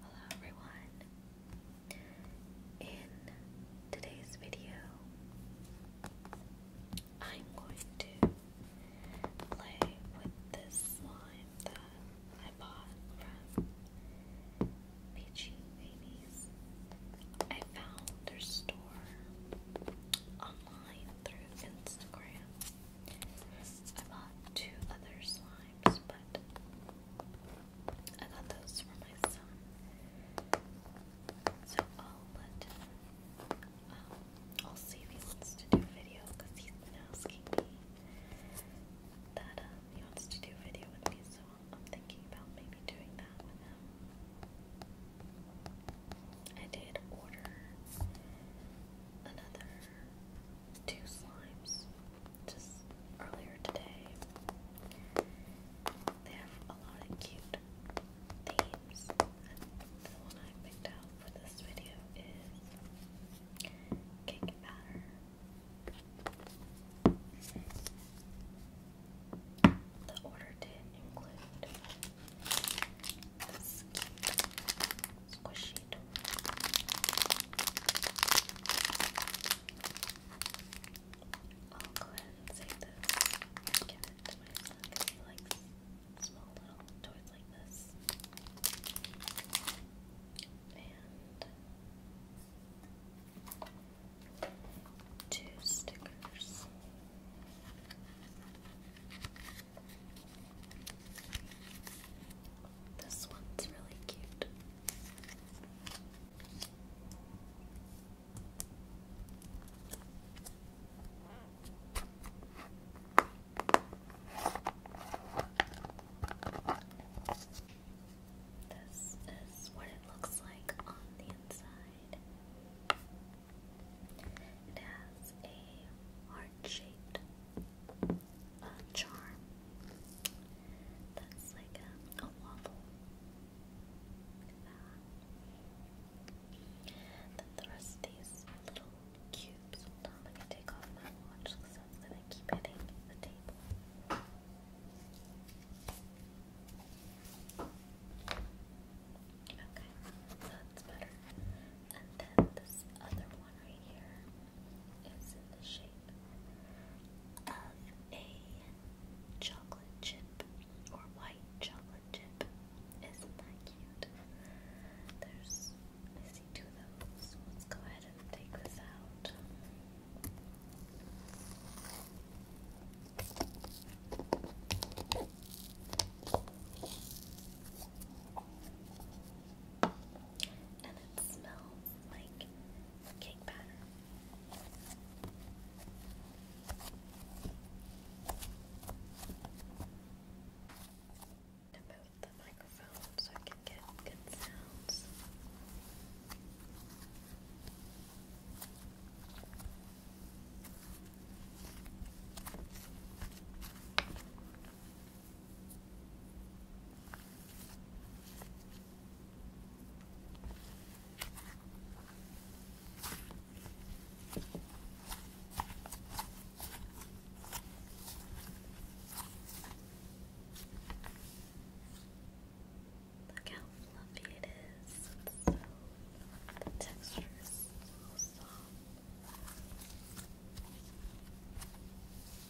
Hello everyone. In today's video, I'm going to play with this slime that I bought from Peachy Babies. I found their store online through Instagram. I bought two other slimes, but I got those for my son. So I'll let um, I'll see if he wants to do video because he's been asking me that um, he wants to do video with me. So I'm thinking about maybe doing that with him. I did order another two slimes just earlier today. They have a lot of cute themes, and the one I picked out for this video is cake batter. The order did include this squish it. I'll go ahead and say this. Give it small little toys like this. And two stickers. This one's really cute. This is what it looks like on the inside. It has a heart shaped a charm. That's like a, waffle. Then the rest these little cubes. Hold on, let me take off my watch because that's keep hitting the table. Okay, that's better. And then this other one right here is in the shape of a chocolate chip or white chocolate chip. Isn't that cute? There's, I two of those. Let's go ahead and take this out and it smells like cake batter. the microphone so I can get good sounds. Look how fluffy it is. the texture is so soft.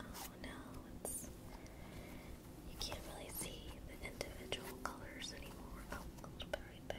Oh no, you can't really see the individual colors anymore. Oh, a little bit right there.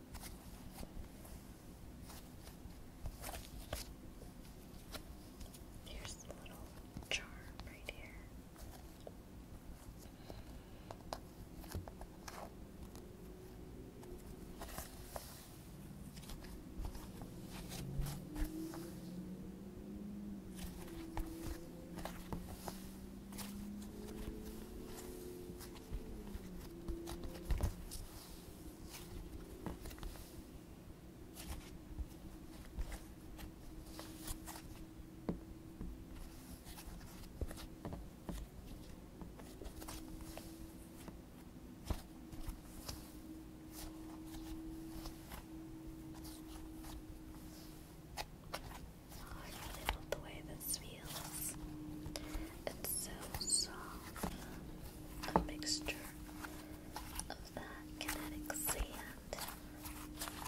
Here's the little charm right here. Oh, I really love the way this feels. It's so soft, a mixture of that kinetic sand,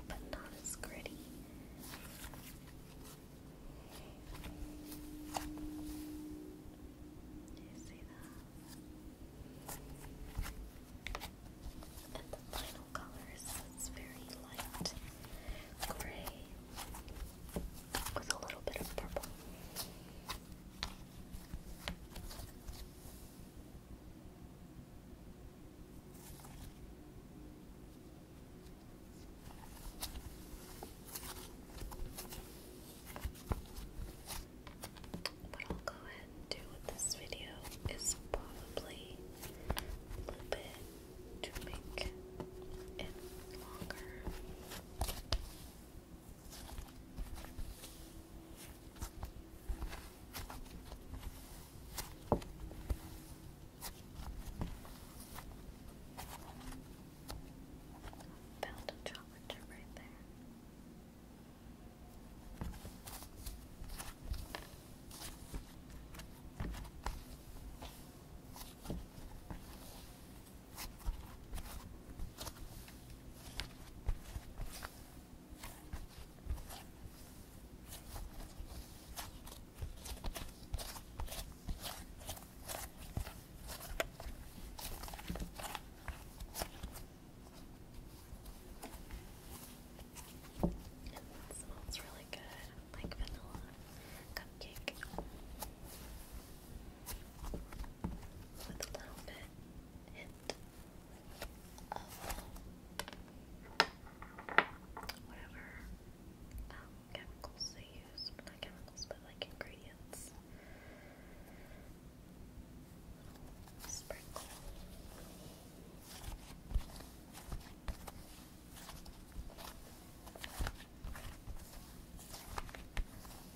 but not as gritty. Do you see that? And the final color is this very light gray with a little bit of purple. I'll go ahead and do with this video is probably a little bit to make it longer. Found a chocolate right there. It smells really good, like vanilla cupcake with a little bit hint of um, whatever um, chemicals they use. Not chemicals, but like ingredients. sprinkle.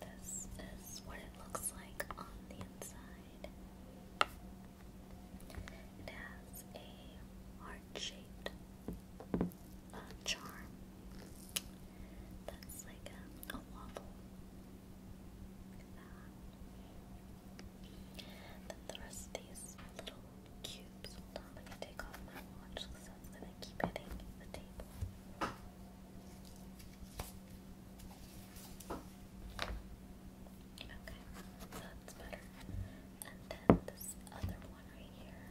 This is what it looks like on the inside. It has a heart shape uh, charm. That's like a, a waffle. Look at that. Then the rest of these little cubes. Hold on, let me take off my watch because that's going to keep hitting the table. Okay, that's better. And then this other one right here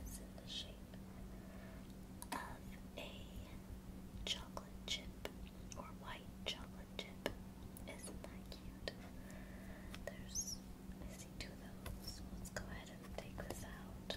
is in the shape of a chocolate chip or white chocolate chip. Isn't that cute? There's I two of those. Let's go ahead and take this out.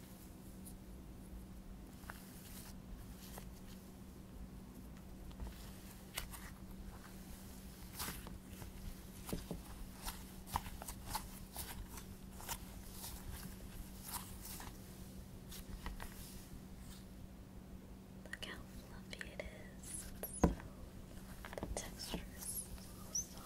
Look how fluffy it is. the texture is so soft.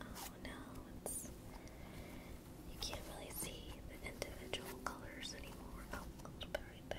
Oh no, you can't really see the individual colors anymore. Oh, a little bit right there.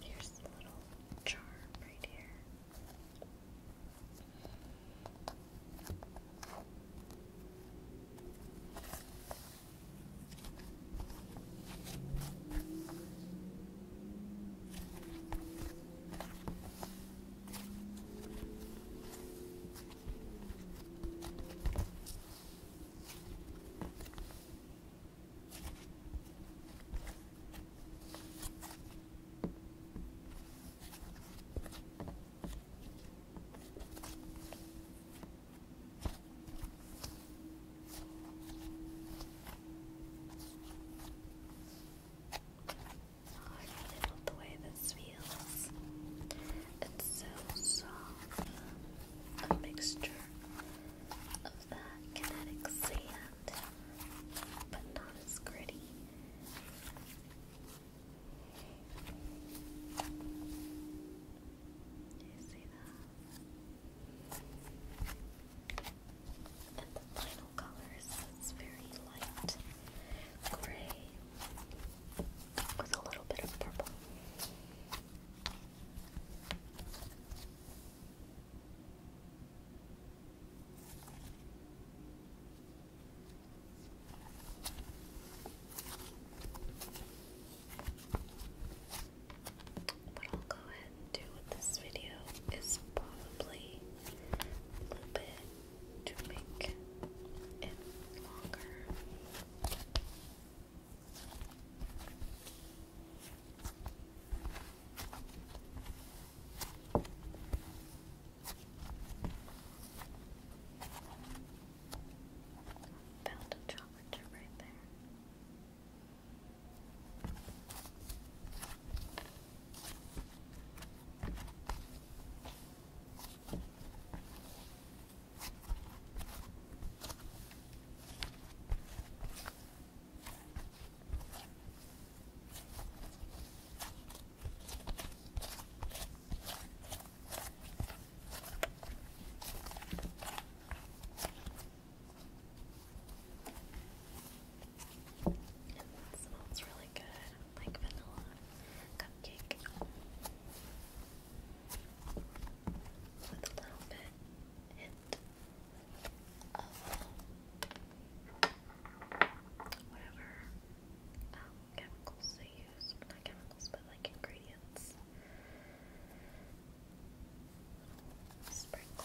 Here's the little charm right here. Oh, I really love the way this feels. It's so soft. A mixture of that kinetic sand, but not as gritty. And the final color is this very light gray with a little bit of purple. What I'll go ahead and do with this video is probably loop it to make it longer. Found a chocolate right there. It smells really good, like vanilla cupcake with a little bit hint of whatever um, chemicals they use. Not chemicals, but like ingredients. Little sprinkle.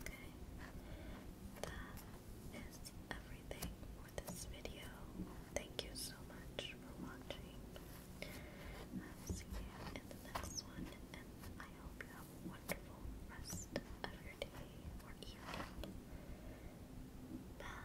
Okay, that is everything for this video. Thank you so much for watching. see you in the next one, and I hope you have a wonderful rest of your day or evening. Bye.